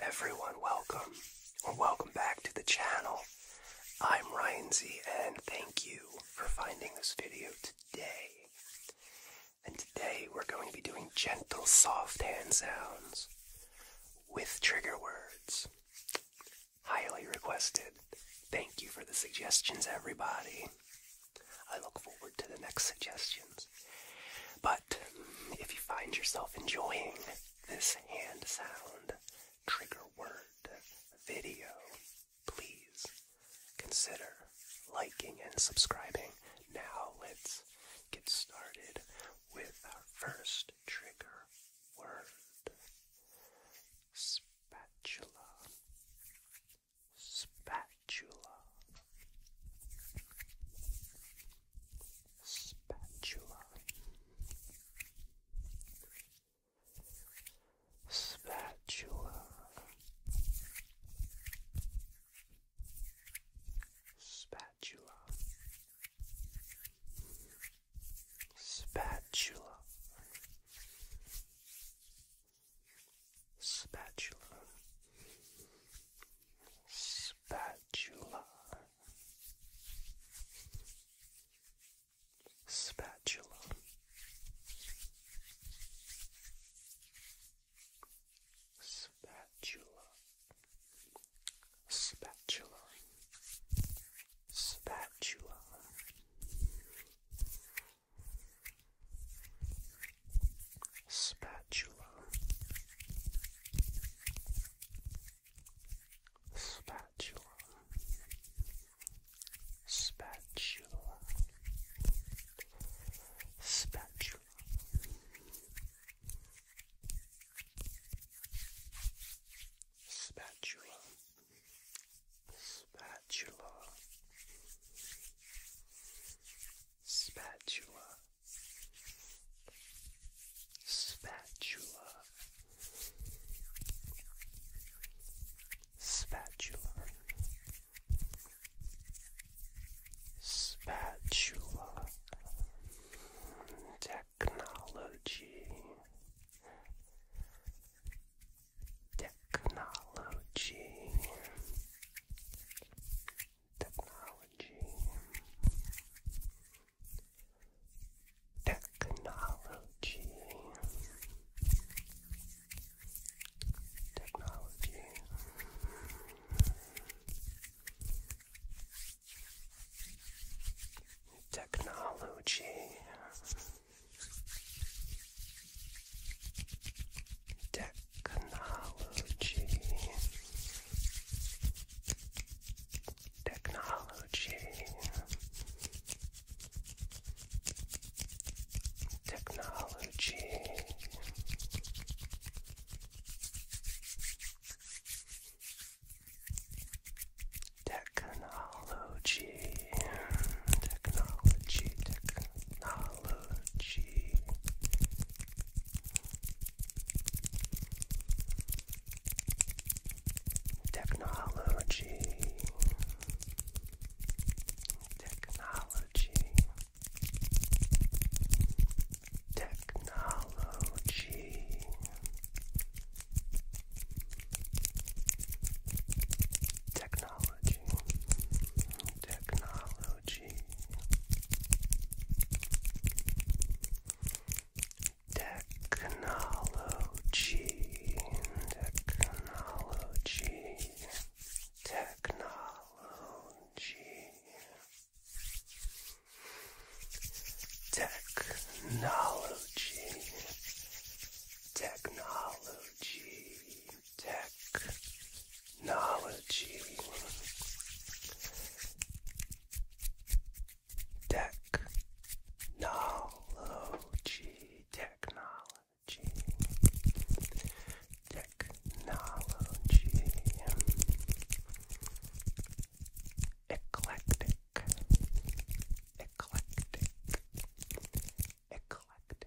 Everyone, welcome or welcome back to the channel. I'm Ryan Z, and thank you for finding this video today. And today we're going to be doing gentle, soft hand sounds with trigger words. Highly requested. Thank you for the suggestions, everybody. I look forward to the next suggestion. But if you find yourself enjoying this hand sound, trigger word, video, please consider liking and subscribing. Now let's get started with our first trigger word. Spatula. Spatula spatula, spatula, spatula, spatula, spatula. Spatula, spatula spatula spatula spatula spatula spatula, spatula, spatula, spatula. Spatula, spatula, spatula, spatula spatula spatula technology technology Technology. Technology. Technology. Technology. Technology. Technology. Technology. Technology. Technology. Technology. Technology, technology, technology. Technology, technology, Technology, technology, technology, technology, technology, tech. Technology. Technology. Technology. Technology. Eclectic. Eclectic. Eclectic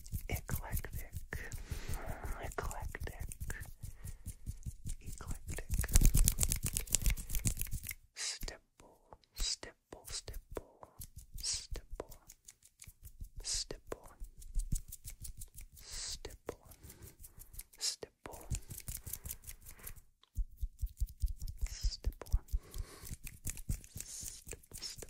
eclectic, eclectic, eclectic, stipple, stipple, stipple, stipple, stipple, stipple, stipple, stipple, stipple,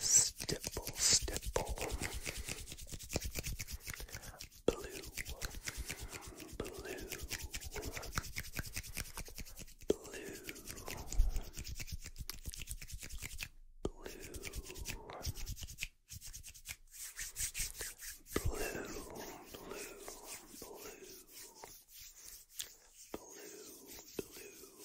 Stipple, stipple. Blue, blue, blue. Blue, blue, blue, blue, blue, blue,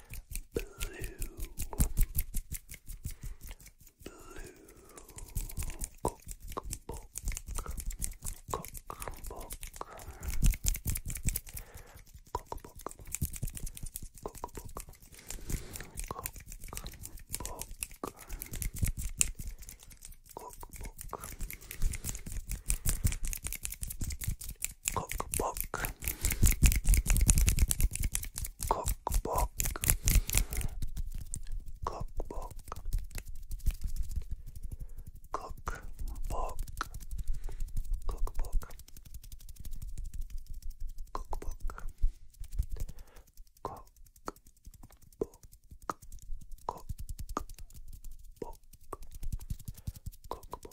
blue, blue cookbook, cookbook, cookbook, cookbook, cookbook. Cookbook, cookbook cookbook cookbook cookbook cookbook cookbook cookbook cookbook cookbook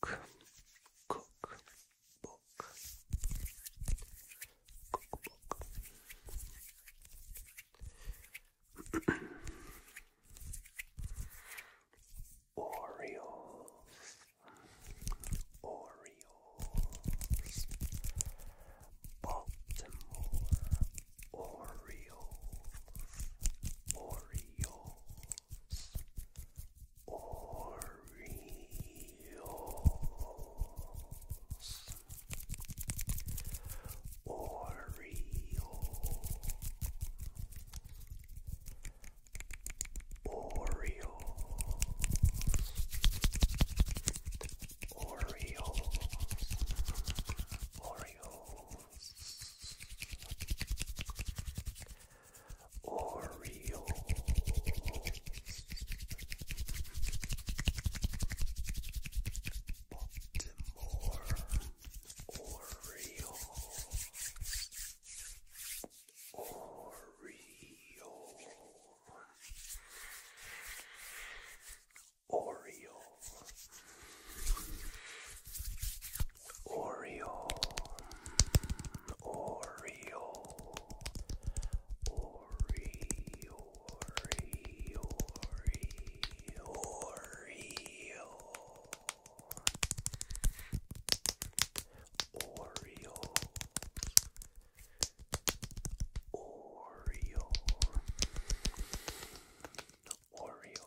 Cook, cook, book, cookbook. Orioles, Orioles, Baltimore, Orioles, Orioles. Orioles. Oriole. Oriole. Orioles. Orioles. Orioles. Baltimore Orioles. Orioles. Orioles. Oreo, Oreo, Oreo, Oreo, Oreo, Oreo, Oreo, Oreo.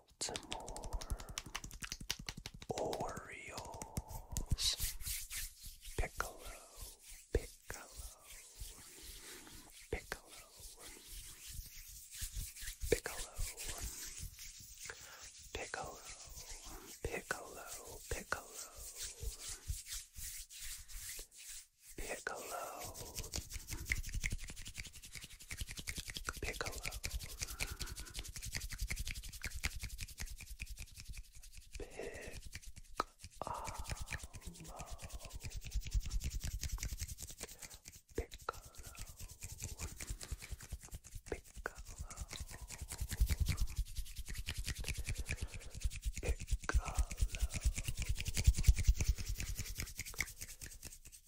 Baltimore Orioles. Piccolo, Piccolo, Piccolo, Piccolo, Piccolo, Piccolo, Piccolo, Piccolo. Piccolo. Piccolo. Piccolo. Piccolo. Piccolo.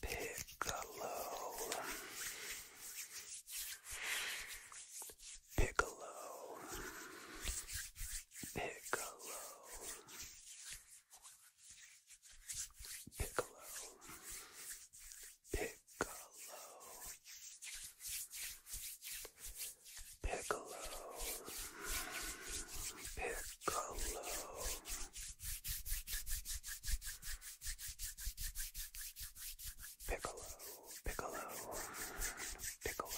Piccolo. Piccolo. Piccolo. Piccolo. Piccolo. Piccolo. Piccolo. Piccolo, Piccolo, Piccolo,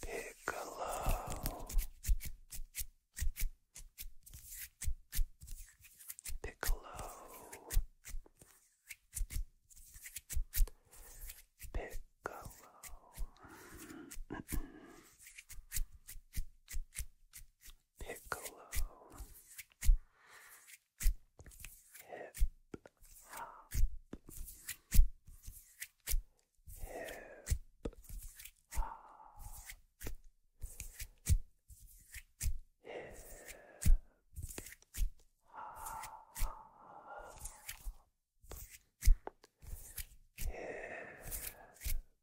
Piccolo, Piccolo, Piccolo. Piccolo Hip Hop Hip Hop Hip Hop Hip hip hop hip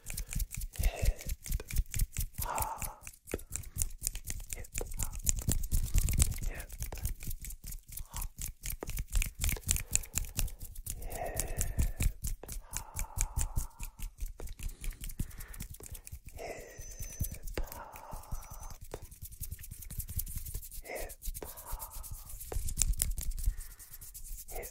hip hop, hip hop, hip hop, hip hop, hip hop. Hip hop, hip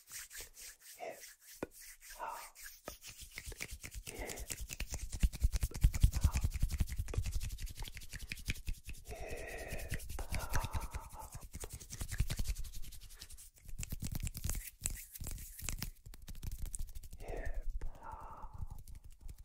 hip hop, hip hop, hip hop. Hip hop,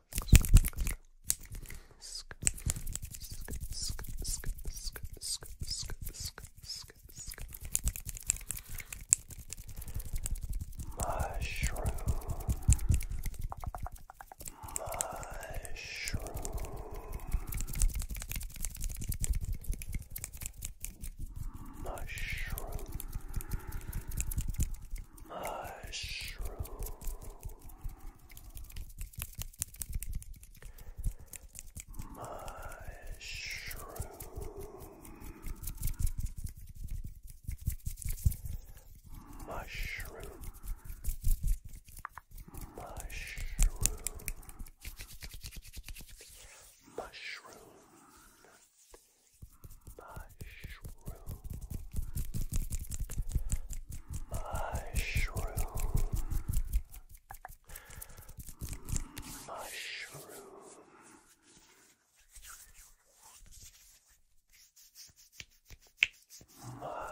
Mushroom. Mushroom. Mushroom mushroom. Mushroom. Mushroom. Mushroom. Mushroom mushroom, mushroom, mushroom. Mushroom, mushroom,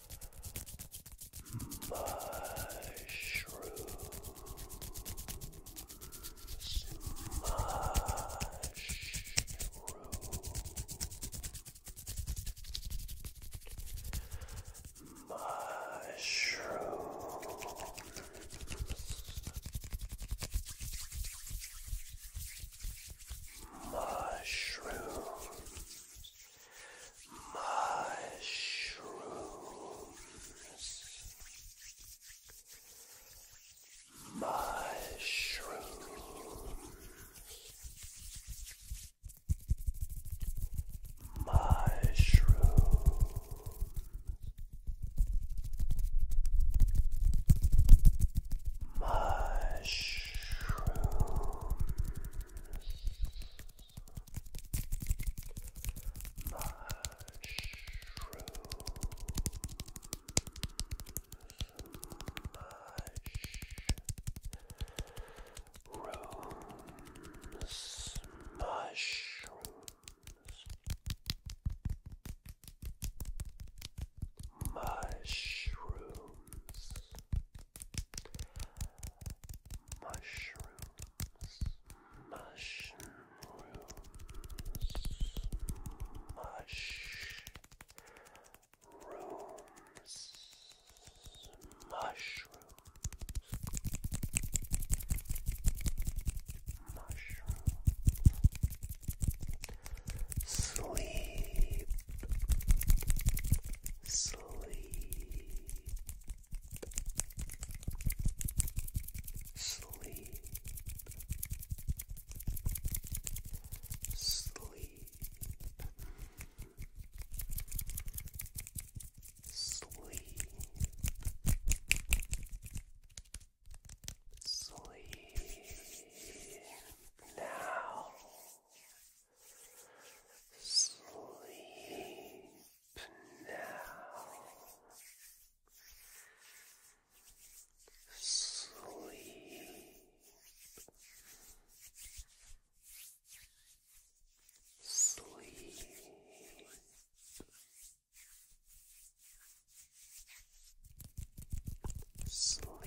mushrooms, mushroom, mushrooms. Mushrooms, mushrooms, mushrooms, mushrooms. Mushrooms, mushrooms, mushrooms, mushrooms. Mushrooms, mushrooms, mush, rooms, mushrooms, mushrooms, sleep, sleep. Sleep. Sleep. Sleep. Sleep. Now Sleep now. Sleep. Sleep. Sleep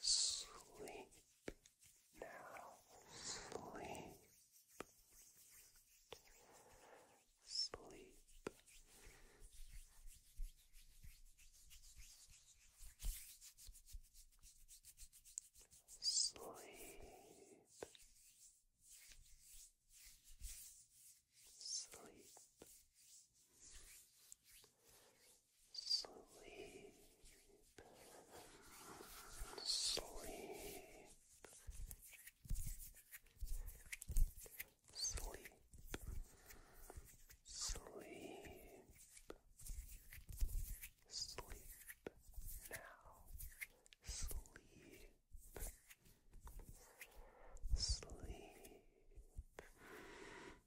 Sleep now. Sleep. Sleep. Sleep. Sleep sleep, sleep, sleep, sleep, sleep now, sleep. Sleep,